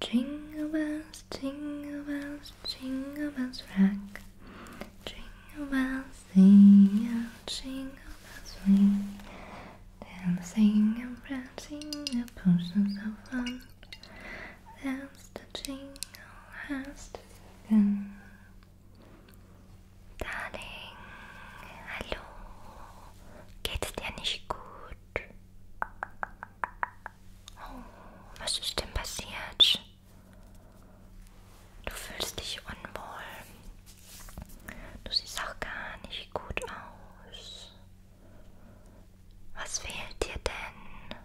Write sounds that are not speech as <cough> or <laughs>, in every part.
Jingle bells, jingle bells, jingle bells rock. Jingle bells, sing a jingle bells ring. Dancing and prancing, the pushing so fun. Dance the jingle has begun. Darling, hallo. Geht's dir nicht gut? Oh, was ist denn passiert? Du fühlst dich unwohl. Du siehst auch gar nicht gut aus. Was fehlt dir denn?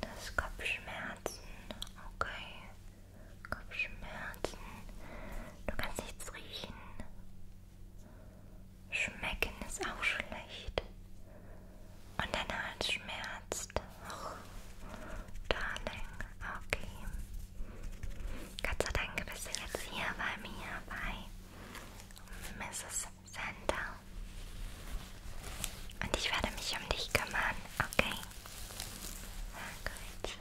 Das Kopfschmerzen. Okay. Kopfschmerzen. Du kannst nichts riechen. Schmecken ist auch schlecht. Und dein Hals schmerzt. Oh, darling, okay. Gott sei Dank bist du jetzt hier bei mir bei Mrs. Santa. Und ich werde mich um dich kümmern, okay? Sehr gut.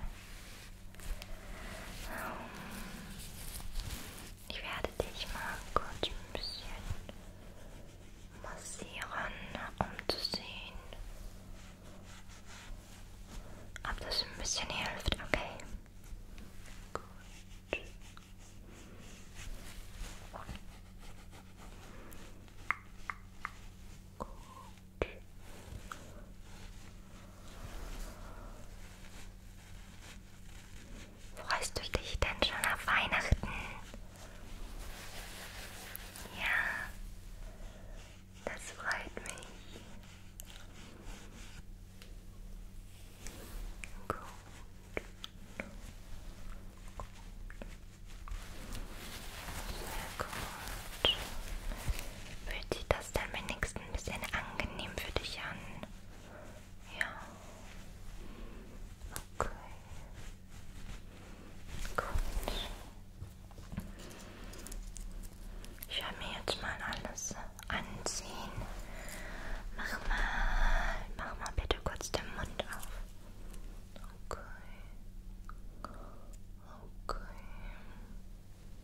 Ich werde dich mal kurz ein bisschen massieren, um zu sehen, ob das ein bisschen hilft, okay? Gut. Gut. Freust du dich denn schon auf Weihnachten? Ja, das freut mich. Gut. Sehr gut. Fühlt sich das es dann wenigstens ein bisschen angenehm für dich an. Ja. Okay. Gut. Ich werde mir jetzt mal alles anziehen. Mach mal, mach mal bitte kurz den Mund auf. Okay. Okay.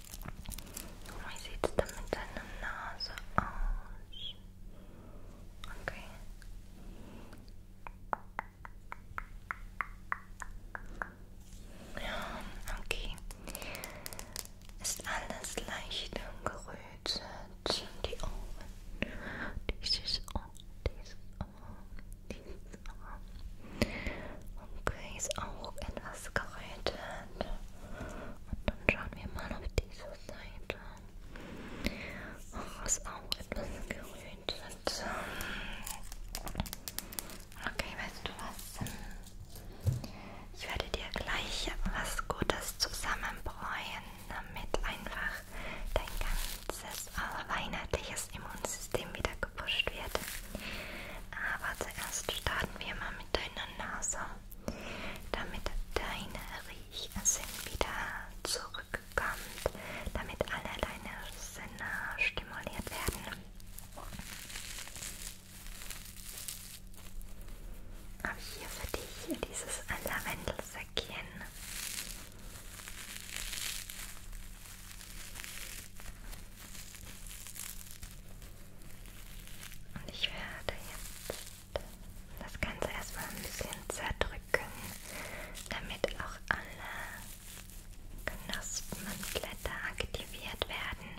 Wie sieht es denn mit deiner Nase aus? Okay. Ja, okay. Ist alles leicht gerötet. Die Ohren. Dieses Ohr, dieses Ohr, dieses Ohr. Okay, ist auch etwas gerötet. Seite. Und dann schauen wir mal auf diese Seite, was auch etwas gerühmt wird. Okay, weißt du was? Ich werde dir gleich was Gutes zusammenbräuen, damit einfach dein ganzes weihnachtliches Immunsystem wieder gepusht wird. Aber zuerst starten wir mal mit mit deiner Nase, damit deine Riecher sind wieder zurückkommt, damit alle deine Sinne stimuliert werden. Habe ich hier für dich dieses Lavendelsäckchen. Und ich werde jetzt das Ganze erstmal ein bisschen zerdrücken, damit auch alle Knospen und Blätter aktiviert werden.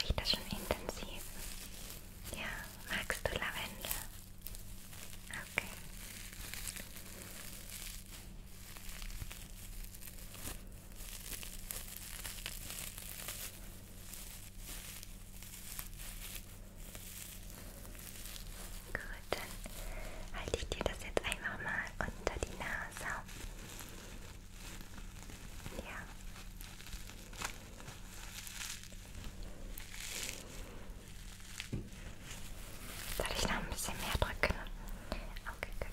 Riecht das schon intensiv? Ja, magst du Lavendel? Okay. Gut, dann halte ich dir das jetzt einfach mal unter die Nase. Ja. Soll ich noch ein bisschen mehr drücken? Okay, gut. Genau. Okay.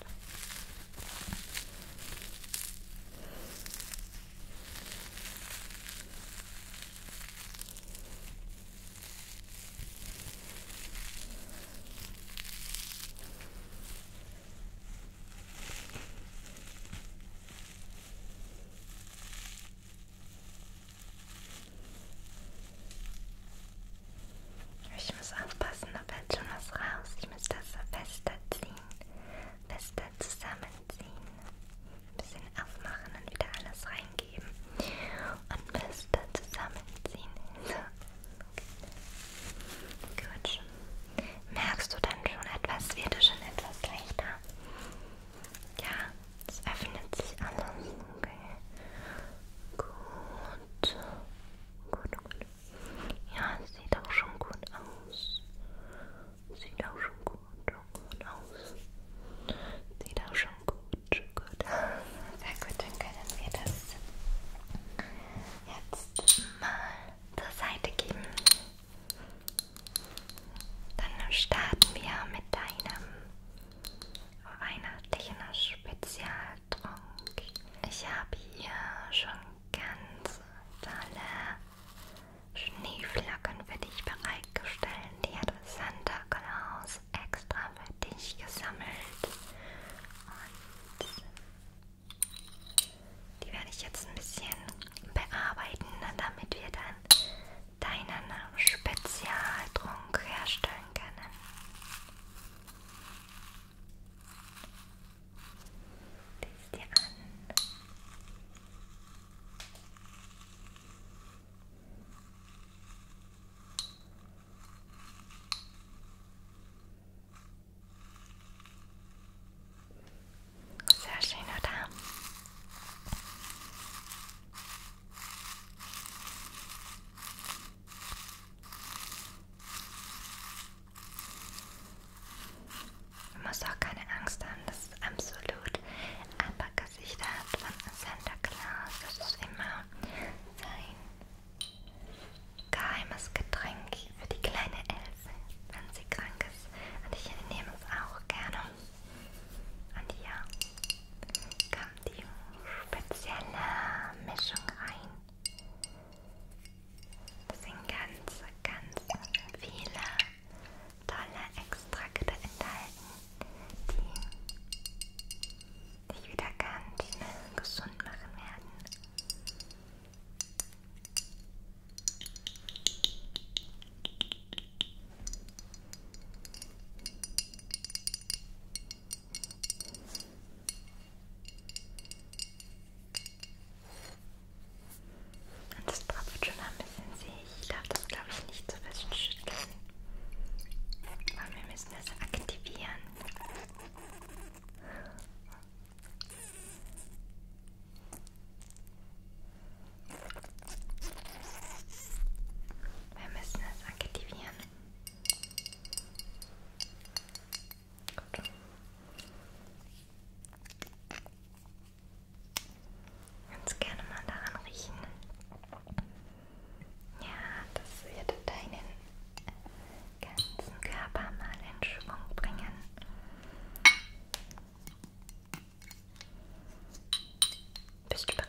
Ich muss aufpassen, da fällt schon was raus. Ich muss das so fester ziehen, fester zusammenziehen, ein bisschen aufmachen und wieder alles reingeben und fester zusammenziehen. So. Gut. Merkst du dann schon etwas? Wird es schon etwas leichter? Ja, es öffnet sich alles. Okay. Gut. Gut, gut. Ja, es sieht auch schon gut aus. Sieht auch schon gut, gut aus. Sieht auch schon gut, gut aus. Sehr gut, dann können wir das jetzt mal zur Seite geben. Dann starten wir mit deinem weihnachtlichen Spezialtrunk. Ich habe hier schon ganz tolle Schneeflocken für dich bereitgestellt. Die hat Santa Claus extra für dich gesammelt. Und die werde ich jetzt ein bisschen bearbeiten, damit wir dann deinen Spezialtrunk herstellen können. Siehst dir an. Sehr schön, oder? Man muss auch keine Angst haben, das ist absolut Alpaka-Gesichter von Santa Claus, das ist immer sein Geheimes Getränk für die kleine Elfe, wenn sie krank ist. Und ich nehme es auch gerne. Und ja, kam die spezielle Mischung rein. Das sind ganz, ganz viele tolle Extrakte enthalten, die dich wieder ganz schnell gesund machen werden. Und das tropft schon ein bisschen See. Ich darf das, glaube ich, nicht so fest schütteln. Aber wir müssen das aktivieren. Wir müssen es aktivieren. Gut. Ganz gerne mal daran riechen. Ja, das wird deinen ganzen Körper mal in Schwung bringen. Bist du bereit?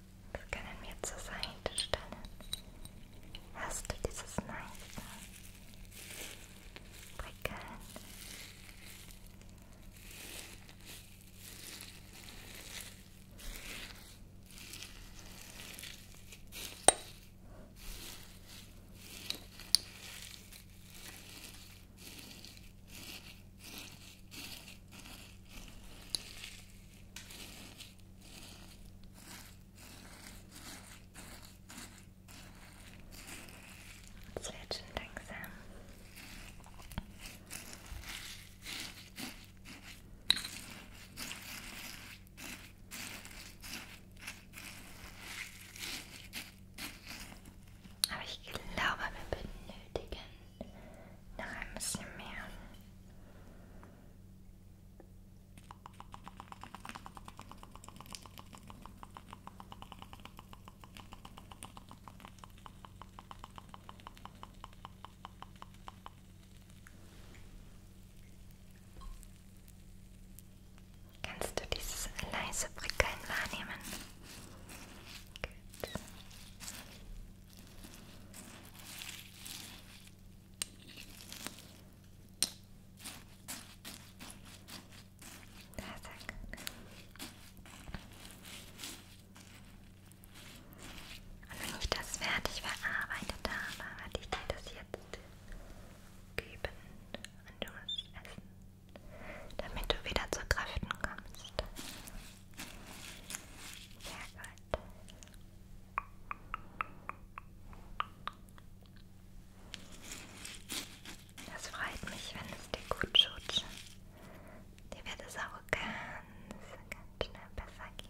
Das können wir zur Seite stellen. Hast du dieses nice Prickeln? Hm. Es wird schon langsam. Aber ich glaube, wir benötigen noch ein bisschen mehr. Kannst du dieses leise Prickeln wahrnehmen? Gut. Da, zack. Und wenn ich das fertig verarbeitet habe, werde ich dir das jetzt geben und du musst essen, damit du wieder zur Kräften kommst. Sehr gut. Das freut mich, wenn es dir gut tut. Dir wird es auch ganz, ganz schnell besser gehen.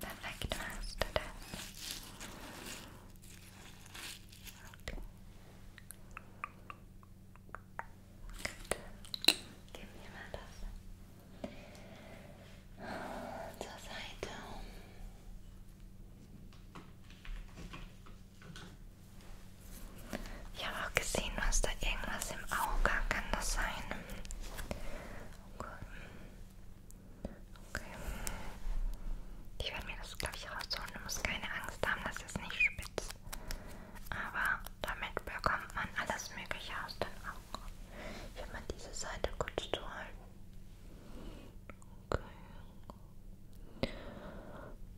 Perfect roast Okay. Good. Give me a zur Seite. Ich habe auch gesehen, du hast da irgendwas im Auge. Kann das sein? Okay. okay. Ich werde mir das, glaube ich, rausholen. Du musst keine Angst haben, das ist nicht spitz. Aber damit bekommt man alles Mögliche aus den Augen. Ich werde mal diese Seite kurz zuhalten. Okay.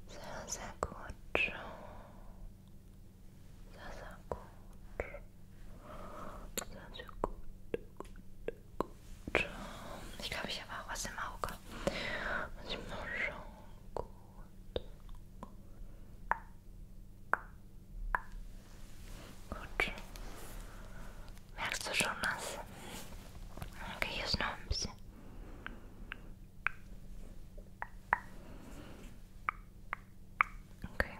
Sehr, sehr gut. Sehr, sehr gut. Sehr, sehr gut. Gut, gut. Ich glaube, ich habe auch was im Auge. Muss ich mal schauen. Gut. Gut. Merkst du schon was? Okay, hier ist noch ein bisschen. Okay.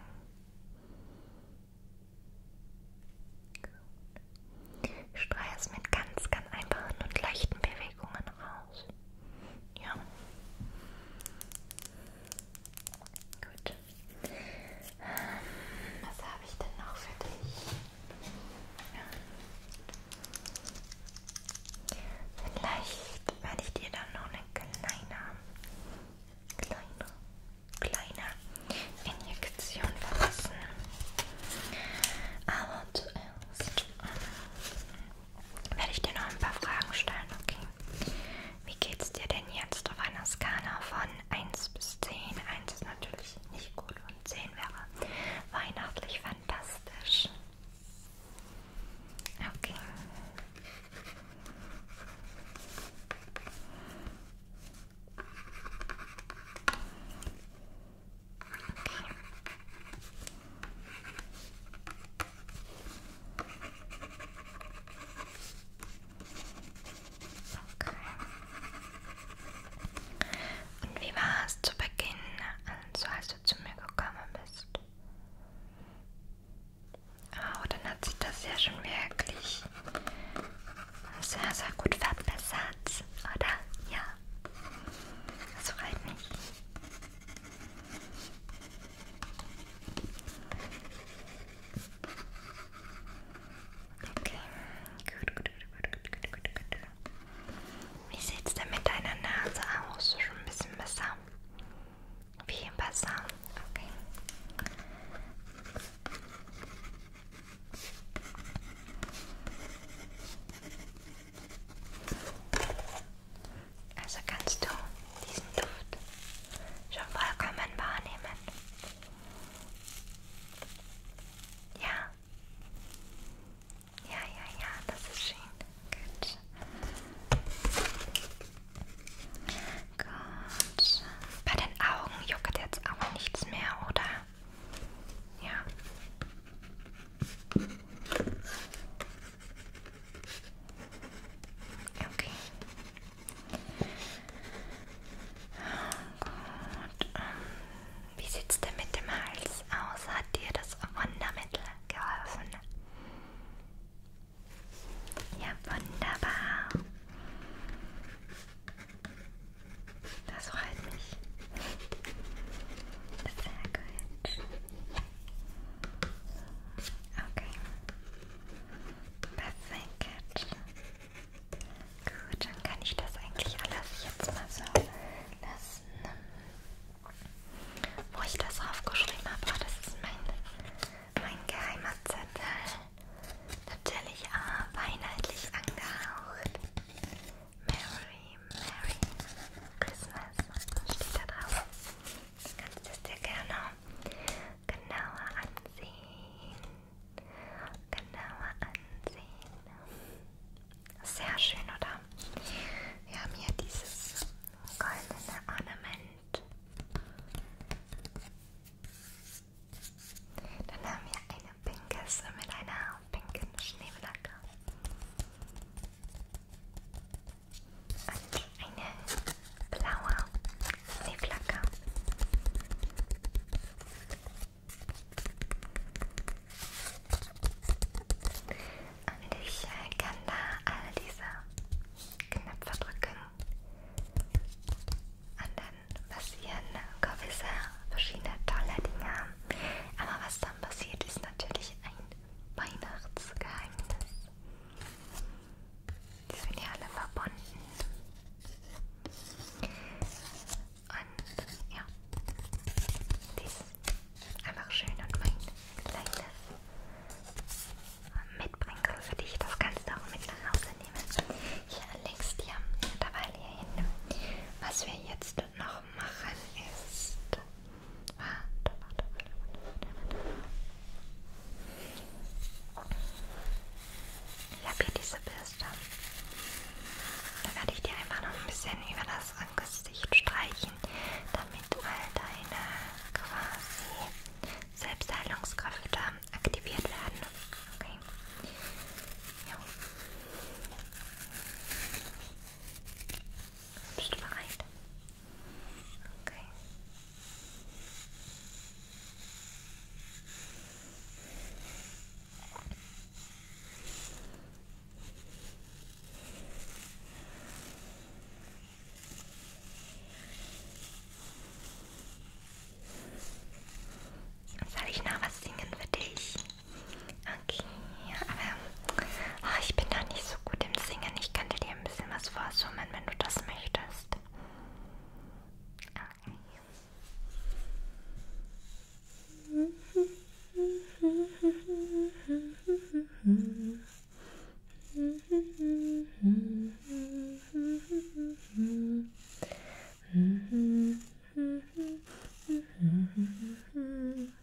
Ich streue es mit ganz, ganz einfachen und leichten Bewegungen raus. Ja. Gut. Was habe ich denn noch für dich? Vielleicht werde ich dir dann noch eine kleine, kleine, kleine Injektion verpassen. Aber zuerst ähm, werde ich dir noch ein paar Fragen stellen, okay? Wie geht's dir denn jetzt auf einer Skala von 1 bis 10? 1 ist natürlich nicht gut und 10 wäre weihnachtlich fantastisch. Okay. Okay. Okay. Okay. Und wie war es zu Beginn, also als du zu mir gekommen bist? Oh, dann hat sich das ja schon wirklich sehr, sehr gut verbessert, oder? Ja. Das freut mich. Okay, gut, gut, gut, gut, gut, gut, gut. Wie sieht's denn mit deiner Nase aus? Schon ein bisschen besser? Viel besser? Okay. Also kannst du diesen Duft schon vollkommen wahrnehmen. Ja. Ja, ja, ja, das ist schön. Gut. Gut. Bei den Augen juckt jetzt auch nichts mehr, oder? Ja. Okay. Oh Gott. Wie sieht es denn mit dem Hals aus? Hat dir das Wundermittel geholfen? Ja, wunderbar. Das freut mich. Sehr gut. Okay. Perfekt. Gut, dann kann ich das eigentlich alles jetzt mal so lassen. Wo ich das aufgeschrieben habe, oh, das ist mein, mein geheimer Zettel. Natürlich ah, weihnachtlich angehaucht. Merry, Merry Christmas steht da drauf. Du kannst es dir gerne genauer ansehen. Genauer ansehen. Sehr schön, oder? Wir haben hier dieses goldene Ornament. Dann haben wir eine pinke mit einer pinken Schneeflocke und eine blaue Seeflagge. Und ich äh, kann da all diese Knöpfe drücken und dann passieren gewisse verschiedene tolle Dinge. Aber was dann passiert, ist natürlich ein Weihnachtsgeheimnis. Die sind ja alle verbunden. Und ja, die ist einfach schön und mein kleines Mitbringsel für dich. Das kannst du auch mit nach Hause nehmen. Hier links dir, dabei hier hinten. Was wir jetzt noch machen ist Warte, warte, warte, warte, warte, warte. Ich habe hier diese Bürste. Da werde ich dir einfach noch ein bisschen über das Gesicht streichen, damit all deine quasi Selbstheilungskräfte aktiviert werden. Okay. Ja. Bist du bereit? Okay. Soll ich noch was singen für dich? Okay, aber oh, ich bin da nicht so gut im Singen. Ich könnte dir dir ein bisschen was vorsummen, wenn du das möchtest. Okay. <laughs>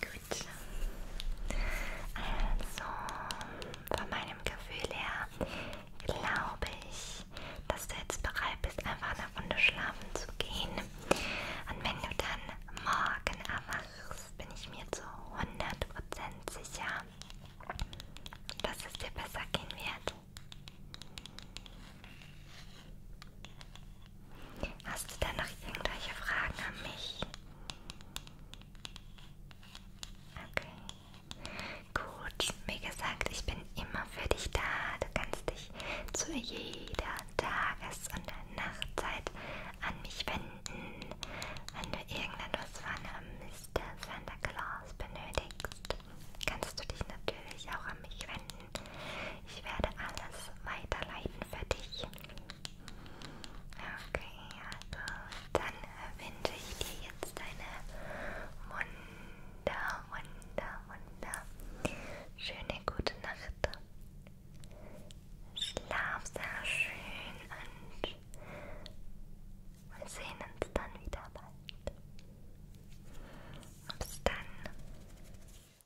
Gut. Also, von meinem Gefühl her glaube ich, dass du jetzt bereit bist, einfach eine Runde schlafen zu gehen. Und wenn du dann morgen erwachst, bin ich mir zu 100% sicher, dass es dir besser gehen wird. Hast du denn noch irgendwelche Fragen an mich? Okay. Gut, wie gesagt, ich bin immer für dich da. Du kannst dich zu jeder Tages- und Nachtzeit an mich wenden, wenn du irgendetwas von äh, Mr. Santa Claus benötigst. Kannst du dich natürlich auch an mich wenden. Ich werde alles weiterleiten für dich. Okay, also dann wünsche ich dir jetzt eine wunder, wunder, wunder schöne gute Nacht. Schlaf sehr schön und wir sehen uns dann wieder bald. Bis dann.